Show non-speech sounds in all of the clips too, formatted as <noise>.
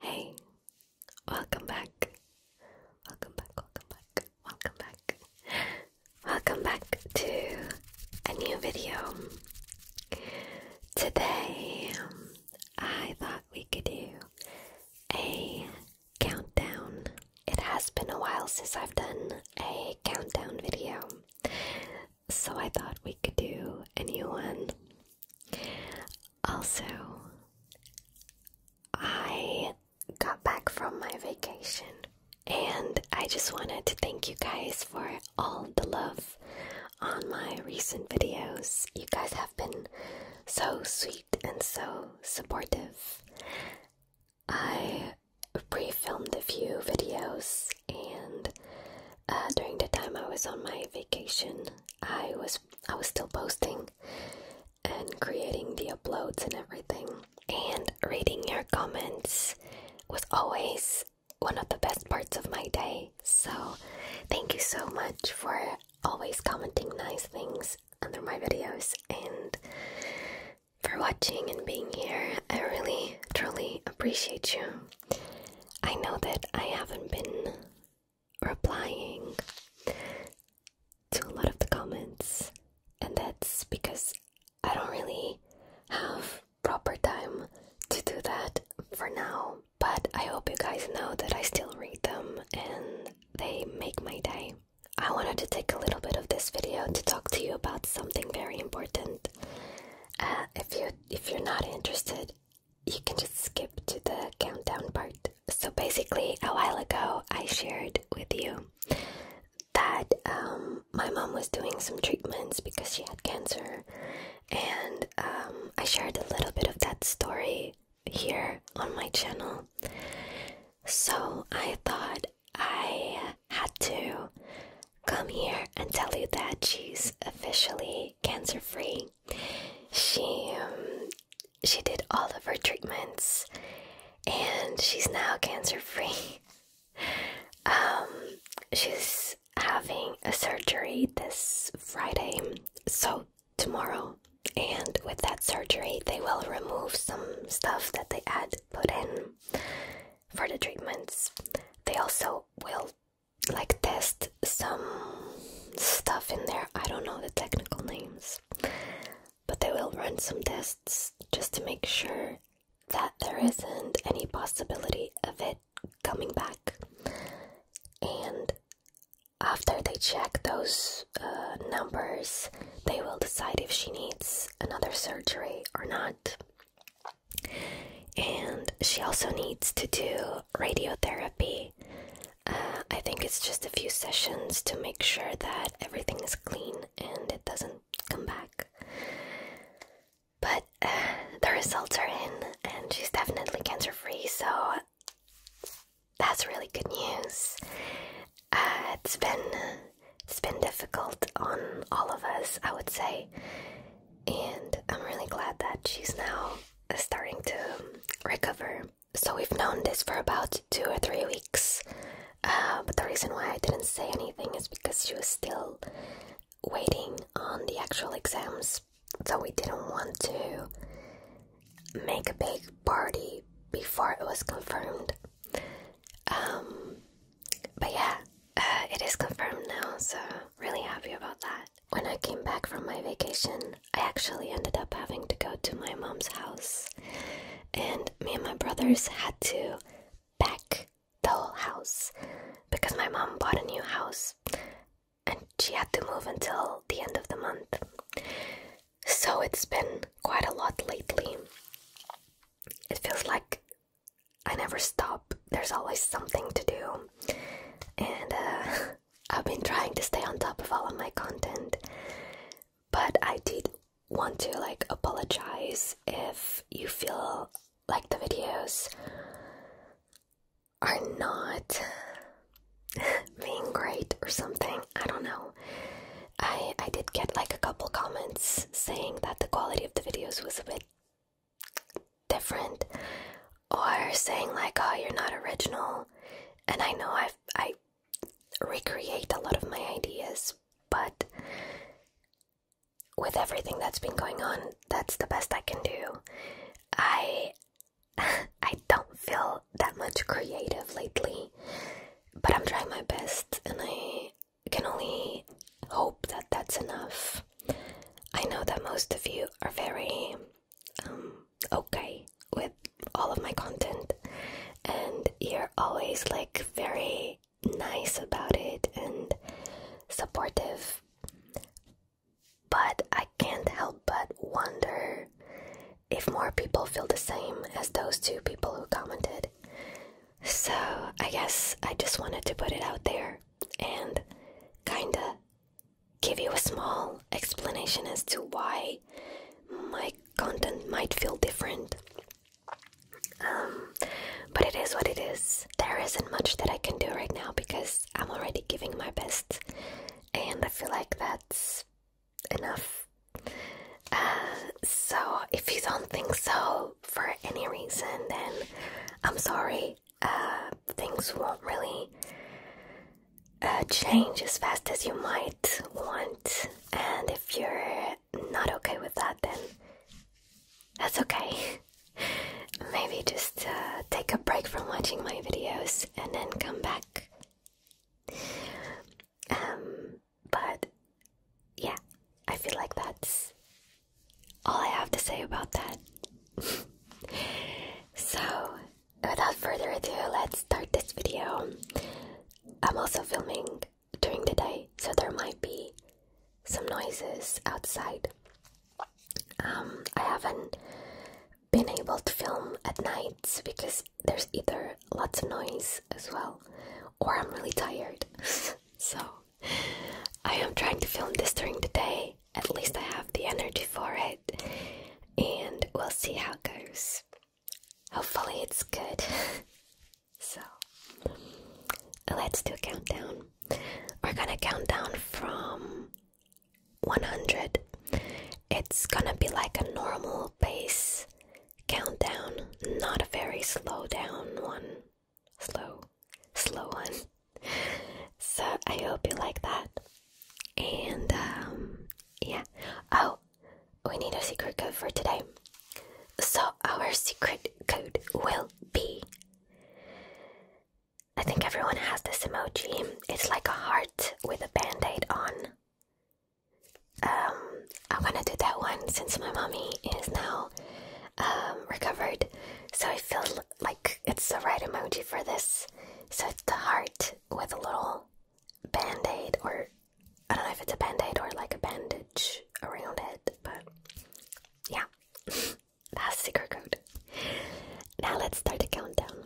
Hey, welcome back. Welcome back, welcome back, welcome back. Welcome back to a new video. Today, um, I thought we could do a countdown. It has been a while since I've done a countdown video, so I thought we could do a new one. Also, I got back from my vacation and I just wanted to thank you guys for all the love on my recent videos. You guys have been so sweet and so supportive. I pre filmed a few videos, and uh, during the time I was on my vacation, I was I was still posting and creating the uploads and everything. And reading your comments was always one of the best parts of my day. So, thank you so much for always commenting nice things under my videos and for watching and being here. I really, truly appreciate you. I know that I haven't been replying to a lot of the comments, and that's because I don't really have proper time to do that for now. But I hope you guys know that I still read them and they make my day. I wanted to take a little bit of this video to talk to you about something very important. Uh, if you if you're not interested, you can just skip to the countdown part. So basically, a while ago, I shared with you that um, my mom was doing some treatments because she had cancer, and um, I shared a little bit of that story here on my channel. So I thought I had to come here and tell you that she's officially cancer free. She um, she did all of her treatments and she's now cancer free. <laughs> um she's having a surgery this Friday. So tomorrow and with that surgery they will remove some stuff that they had put in for the treatments. They also will like test some stuff in there. I don't know the technical names, but they will run some tests just to make sure that there isn't any possibility of it coming back. And after they check those uh, numbers, they will decide if she needs another surgery or not. And she also needs to do radiotherapy. Uh, I think it's just a few sessions to make sure that everything is clean and it doesn't come back. But uh, the results are in, and she's definitely cancer free, so that's really good news. Uh, it's been it's been difficult on all of us, I would say, and I'm really glad that she's now starting to recover. So we've known this for about two or three weeks, uh, but the reason why I didn't say anything is because she was still waiting on the actual exams, so we didn't want to make a big party before it was confirmed. Um, but yeah, uh, it is confirmed now, so really happy about that. When I came back from my vacation, I actually ended up having to go to my mom's house, and me and my brothers had to pack the whole house because my mom bought a new house and she had to move until the end of the month. So it's been quite a lot lately. It feels like I never stop, there's always something to do. And uh, <laughs> I've been trying to stay on top of all of my content, but I did want to like apologize if you feel like the videos are not <laughs> being great or something. I don't know. I I did get like a couple comments saying that the quality of the videos was a bit different or saying like oh you're not original and I know I I recreate a lot of my ideas but with everything that's been going on that's the best I can do. I <laughs> I don't feel that much creative lately, but I'm trying my best and I can only hope that that's enough. I know that most of you are very um, okay with all of my content and you're always like very nice about it and supportive. But I can't help but wonder if more people feel the same as those two people who commented. So, I guess I just wanted to put it out there and kinda give you a small explanation as to why my content might feel different. Um, but it is what it is. There isn't much that I can do right now because I'm already giving my best, and I feel like that's enough. Uh, so, if you don't think so for any reason, then I'm sorry. Uh, things won't really uh, change as fast as you might want. And if you're not okay with that, then that's okay. <laughs> Maybe just take a break from watching my videos and then come back. Um, but yeah, I feel like that's all I have to say about that. <laughs> so, without further ado, let's start this video. I'm also filming during the day, so there might be some noises outside. Um, I haven't been able to film at night because there's either lots of noise as well, or I'm really tired. <laughs> so I am trying to film this during the day. At least I have the energy for it, and we'll see how it goes. Hopefully, it's good. <laughs> so let's do a countdown. We're gonna count down from 100 it's gonna be like a normal pace countdown, not a very slow down one. Slow, slow one. so I hope you like that. And um, yeah. Oh, we need a secret code for today. So our secret code will be. I think everyone has this emoji. It's like a heart with a band aid on um, I going to do that one since my mommy is now um, recovered. So I feel like it's the right emoji for this. So the heart with a little band aid, or I don't know if it's a band aid or like a bandage around it, but yeah, <laughs> that's secret code. Now let's start the countdown.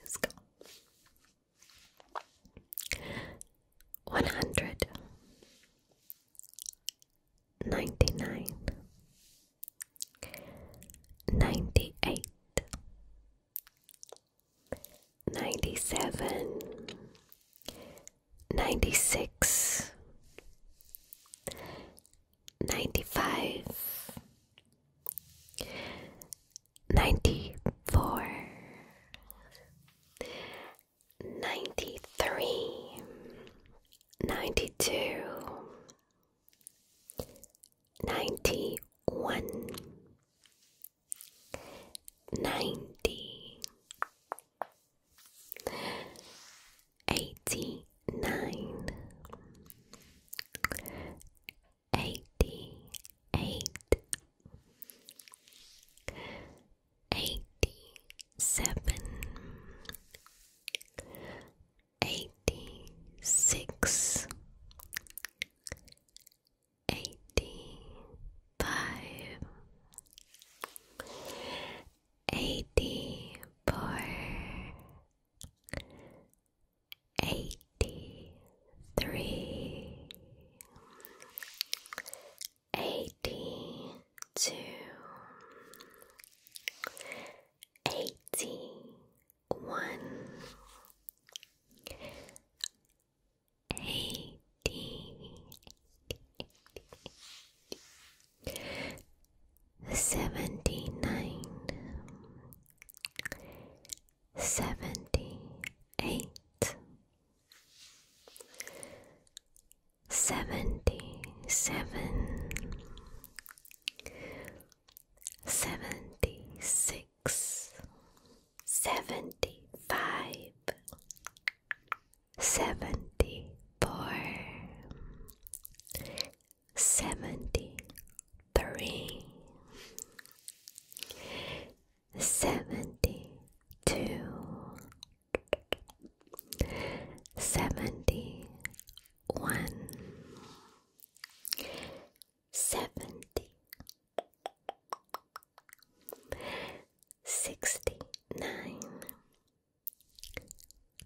Let's go one hundred ninety nine ninety eight ninety seven ninety six ninety five 94 93 92 91 89 eighty eight, eighty seven, eighty six, eighty five, eighty four eighty three, eighty two, eighty one, eighty, eighty, eighty. seventy nine seventy eight, seventy seven, seventy six, seventy five, seventy four, seventy three seventy two, seventy one, seventy, sixty nine,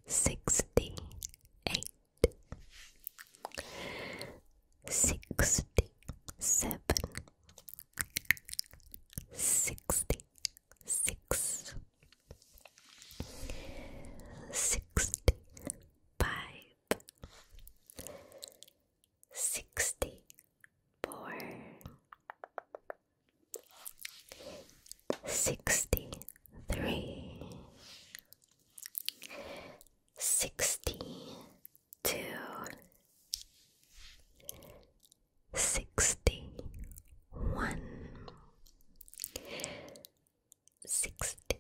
sixty eight sixty seven, sixty six, sixty five, sixty four, sixty three. Sixty to sixty one sixty sixty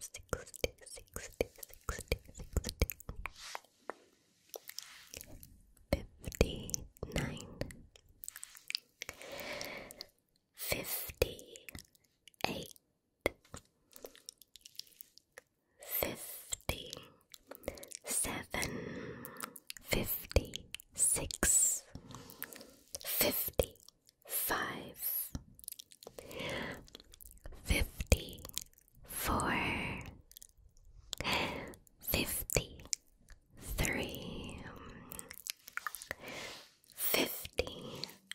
sixty sixty sixty fifty nine fifty eight fifty seven, fifty six, fifty five, fifty four, fifty three, fifty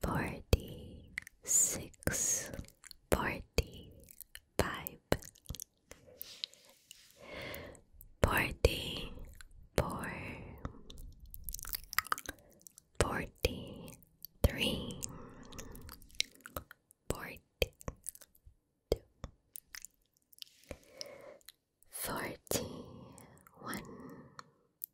forty six, forty five, forty four, forty three, forty two, forty one.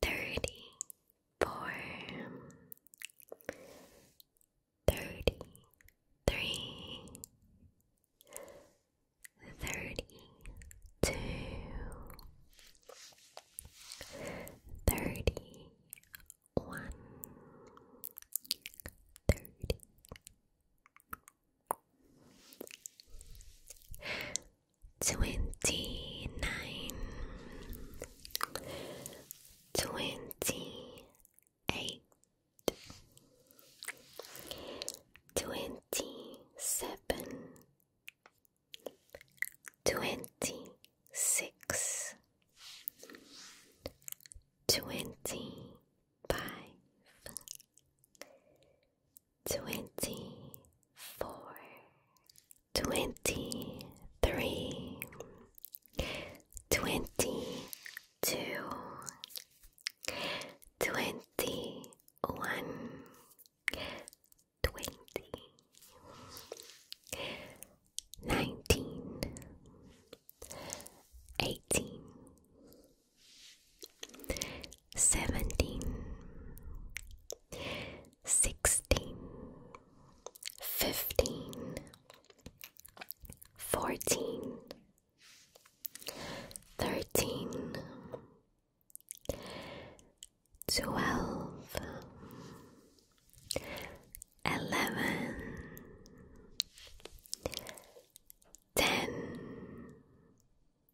thirty four, thirty three, thirty two, thirty one, thirty twenty nine, twenty eight, twenty seven, twenty six, twenty five twenty four, twenty three, twenty two, twenty one, twenty nineteen, eighteen seventeen, sixteen, fifteen, fourteen, thirteen, twelve, eleven, ten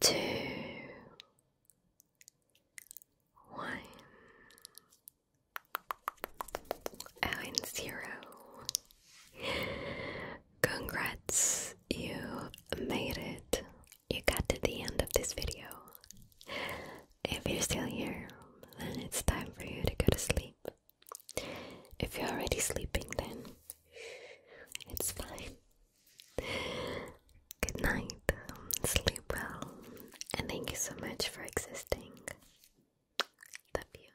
two, one, oh, and zero. Congrats, you made it. You got to the end of this video. If you're still here, then it's time for you to go to sleep. If you're already sleeping, then it's fine. Good night, sleep well, and thank you so much for existing. Love you.